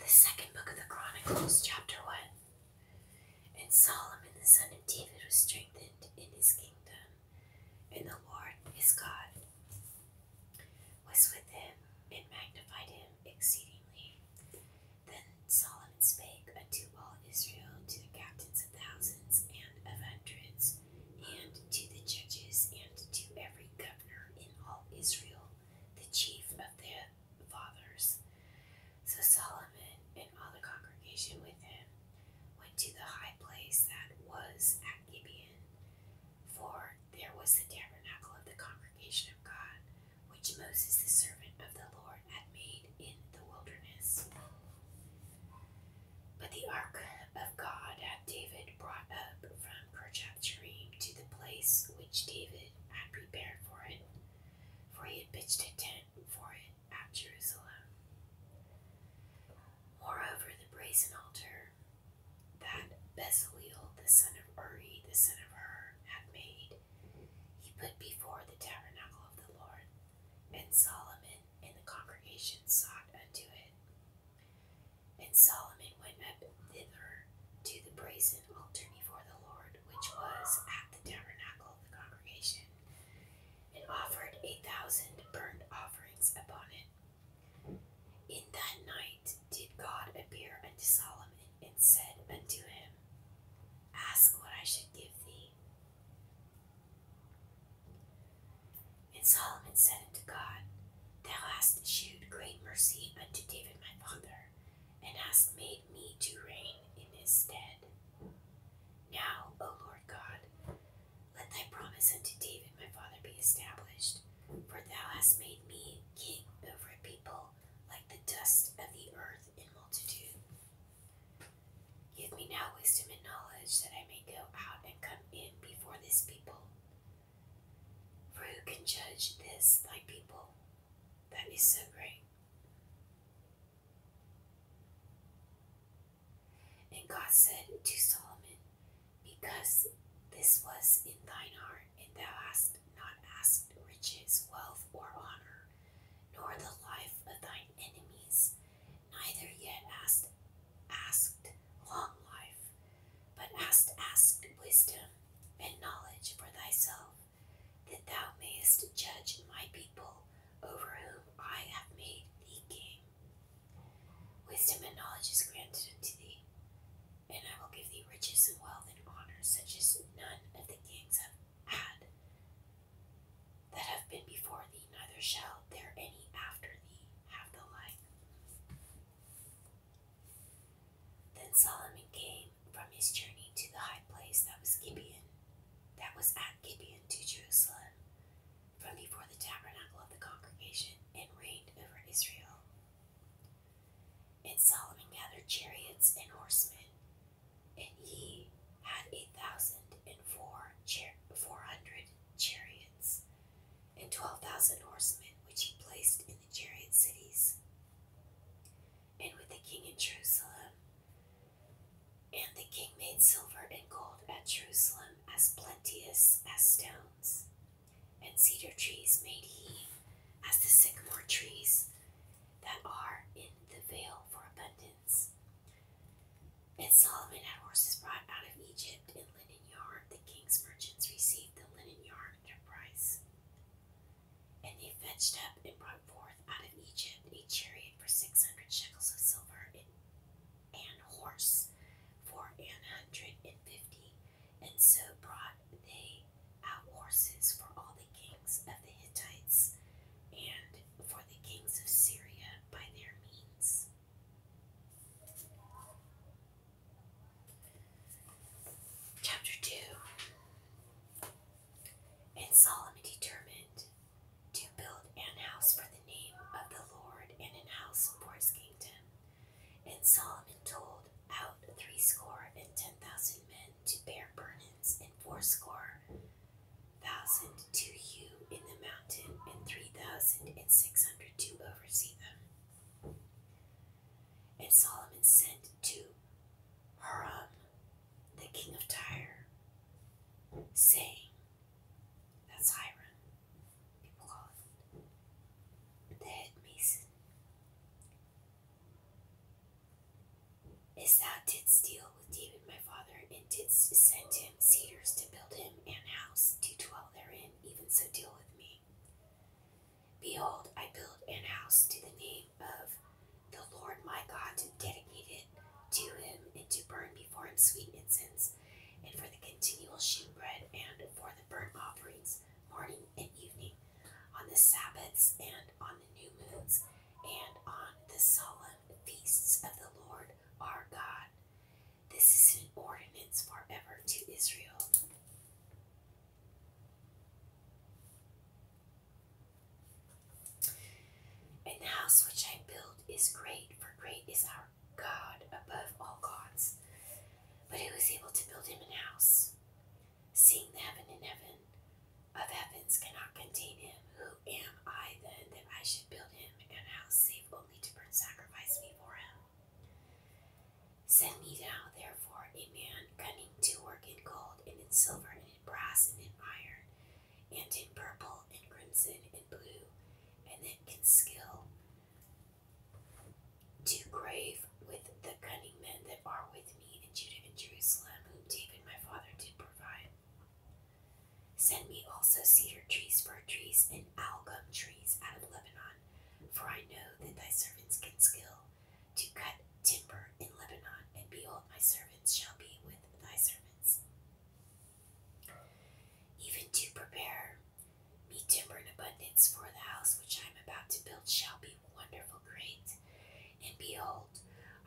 The second book of the Chronicles, chapter 1. And Solomon, the son of David, was strengthened in his kingdom, and the Lord his God was with him and magnified him exceedingly. Then Solomon spake unto all Israel, to the captains of thousands and of hundreds, and to the judges, and to every governor in all Israel, the chief of their fathers. So Solomon and all the congregation with him went to the high place that was at Gibeon, for there was the tabernacle of the congregation of God, which Moses the servant of the Lord had made in the wilderness. But the ark of God had David brought up from perchance dream, to the place which David had prepared for it, for he had pitched a tent for it at Jerusalem. Moreover, the brazen altar that Bezalel, the son of Uri, the son of Hur, had made, he put before the tabernacle of the Lord, and Solomon and the congregation sought unto it. And Solomon went up thither to the brazen altar before the Lord, which was at the tabernacle of the congregation, and offered a thousand burnt offerings upon it. In that night did God appear unto Solomon, and said unto him, Ask what I should give thee. And Solomon said unto God, Thou hast shewed great mercy unto David my father, and hast made me to reign in his stead. Now, O Lord God, let thy promise unto David my father be established, for thou hast made me king over a people like the dust of the earth in multitude. Give me now wisdom and knowledge that I may go out and come in before this people, for who can judge this, thy people, that is so great? And God said to Solomon, Because this was in thine heart, and thou hast not asked riches, wealth, or honor, nor the life of thine enemies, neither yet asked asked long life, but hast asked wisdom and knowledge for thyself, that thou mayest judge my people over whom I have made thee king. Wisdom and knowledge is granted unto thee, and I will give thee riches and wealth and honors such as none of the kings have had that have been before thee neither shall there any after thee have the light. Then Solomon came from his journey to the high place that was Gibeon, that was at Gibeon to Jerusalem, from before the tabernacle of the congregation, and reigned over Israel. And Solomon gathered chariots and horsemen, and he had eight thousand and four char- four hundred chariots and twelve thousand horsemen, which he placed in the chariot cities, and with the king in Jerusalem. And the king made silver and gold at Jerusalem as plenteous as stones, and cedar trees made he as the sycamore trees that are in the vale for abundance. And Solomon had horses brought out of Egypt and linen yarn. The king's merchants received the linen yarn at a price. And they fetched up and brought forth out of Egypt a chariot for six hundred shekels of silver and an horse for an hundred and fifty. And so brought they out horses for all the kings of the Hittites and for the kings of Syria by their means. Chapter 2 And Solomon determined to build an house for the name of the Lord, and an house for his kingdom. And Solomon told out threescore and ten thousand men to bear burdens, and fourscore thousand to you in the mountain, and three thousand and six hundred to oversee them. And Solomon sent to Hiram, the king of Tyre, saying, That's Hiram, people call it, the head mason, As thou didst steal with David my father, and didst send him cedars to build him an house to dwell therein, even so deal with me. Behold, I build an house to the name of the Lord my God to dedicate it to him and to burn before him sweet incense, and for the continual shewbread and for the burnt offerings, morning and evening, on the Sabbaths and on the new moons, and on the solemn feasts of the Lord our God. This is an ordinance forever to Israel. And the house which I built is great, for great is our God above all gods. But who is able to build him an house? Seeing the heaven in heaven, of heavens cannot contain him. Who am I then that I should build him an house save only to burn sacrifice before him? Send me now, therefore, a man cunning to work in gold and in silver and in brass and in iron and in purple and crimson and blue, and that can skill to grave with the cunning men that are with me in Judah and Jerusalem, whom David my father did provide. Send me also cedar trees, fir trees, and algum trees out of Lebanon, for I know that thy servants can skill to cut timber in Lebanon, and behold, my servants shall be with thy servants. Even to prepare me timber in abundance, for the house which I am about to build shall be wonderful great. And behold,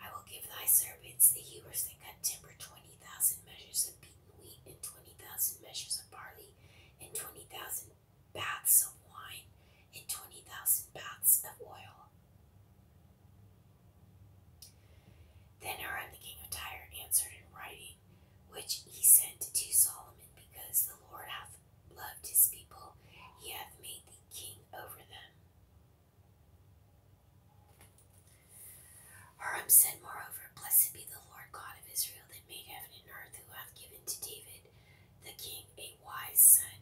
I will give thy servants, the Hebrews that cut timber, twenty thousand measures of beaten wheat, and twenty thousand measures of barley, and twenty thousand baths of wine, and twenty thousand baths of oil. Then Aaron the king of Tyre answered in writing, which he sent to Solomon, because the Lord hath loved his people, he hath made thee king over them. Hiram said, Moreover, Blessed be the Lord God of Israel that made heaven and earth, who hath given to David the king a wise son,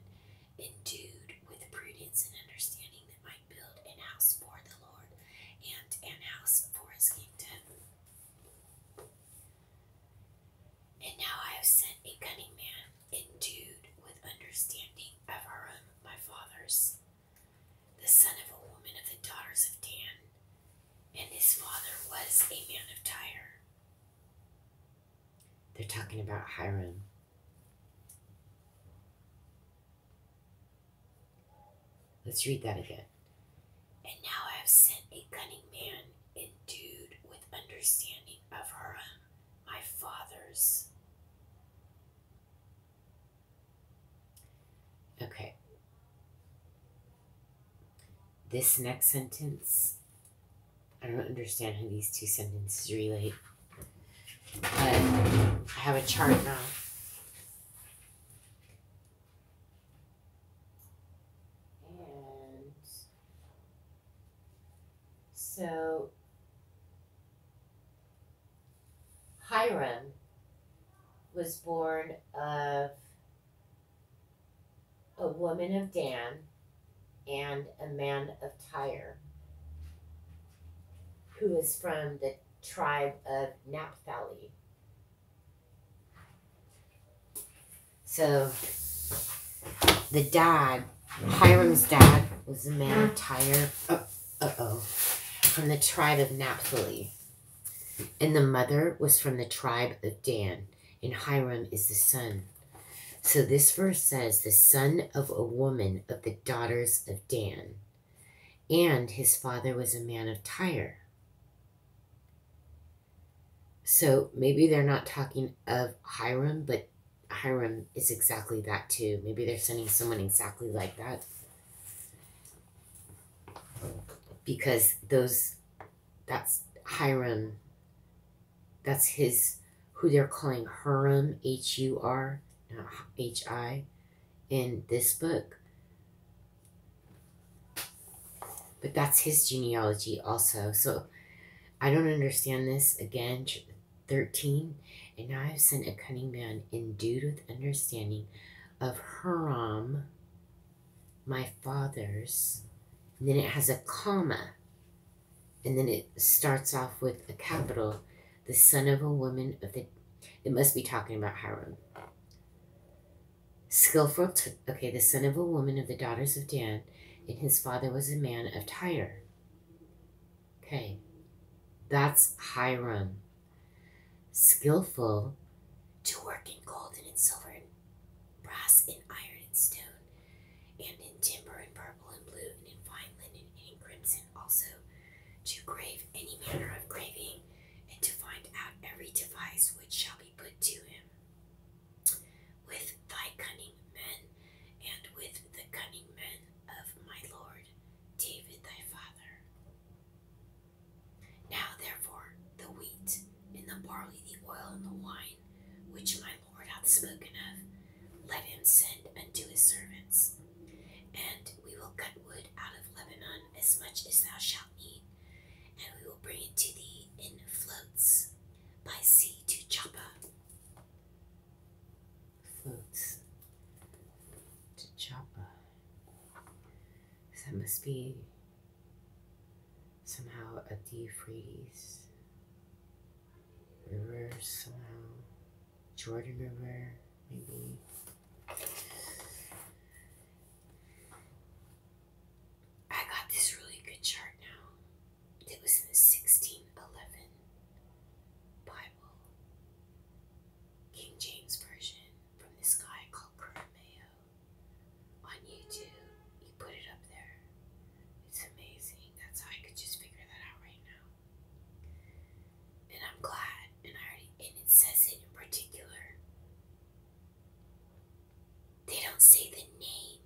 endued with prudence and understanding, that might build an house for the Lord and an house for his kingdom. And now I have sent a cunning man endued with understanding of her own my father's, the son of a woman of the daughters of Dan, and his father was a man of Tyre. They're talking about Hiram. Let's read that again. And now I have sent a cunning man endued with understanding of Hiram, my father's. Okay. This next sentence, I don't understand how these two sentences relate, but I have a chart now. And so Hiram was born of a woman of Dan and a man of Tyre, who is from the tribe of Naphtali. So the dad, Hiram's dad, was a man of Tyre, uh, uh-oh, from the tribe of Naphtali. And the mother was from the tribe of Dan, and Hiram is the son. So this verse says, the son of a woman of the daughters of Dan, and his father was a man of Tyre. So maybe they're not talking of Hiram, but Hiram is exactly that too. Maybe they're sending someone exactly like that. Because those, that's Hiram, that's his, who they're calling Hiram? H u r, H i, in this book. But that's his genealogy also. So I don't understand this. Again, 13. And now I have sent a cunning man endued with understanding of Haram, my father's. then it has a comma. And then it starts off with a capital, the son of a woman of the. It must be talking about Hiram. Skilful took, okay, the son of a woman of the daughters of Dan, and his father was a man of Tyre. Okay, that's Hiram. Skillful to work in gold and in silver and brass and iron and stone, and in timber and purple and blue and in fine linen and crimson also, to grave any manner of graving and to find out every device which shall be put to him with thy cunning men, and with the cunning men of my lord David thy father. Now therefore the wheat and the barley, the oil and the wine, which my lord hath spoken of, let him send unto his servants, and we will cut wood out of Lebanon as much as thou shalt need, and we will bring it to the in floats by sea to Chapa. Floats to Chapa. That must be somehow a Euphrates river, somehow Jordan River, maybe. I got this really good chart now. It was in the 1611 Bible, King James Version, from this guy called Kurt on YouTube. He put it up there. It's amazing. That's how I could just figure that out right now. And I'm glad. And I already. And it says it in particular. They don't say the name,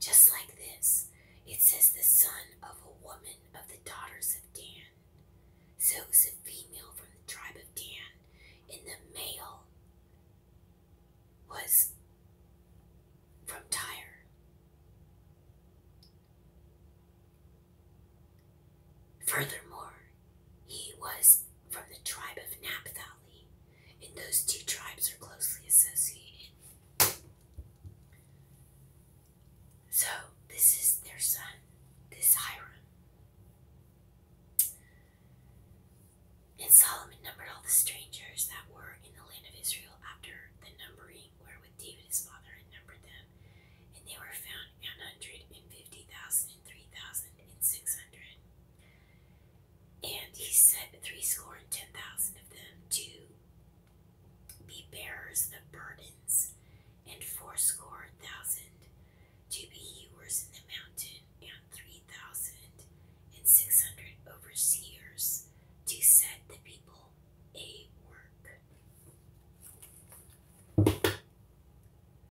just like this. It says the son of a woman of the daughters of Dan. So it was a female from the tribe of Dan, and the male was from Tyre. Furthermore, he was from the tribe of Naphtali, and those two tribes are closely associated. So, this is their son, this Hiram. And Solomon numbered all the strangers that were in the land of Israel after the numbering wherewith David his father had numbered them, and they were found an hundred and fifty thousand and three thousand and six hundred. And he set three score and ten thousand of them to be bearers of burdens, and four score thousand to be hewers in the mountain, and three thousand and six hundred overseers to set the people a work.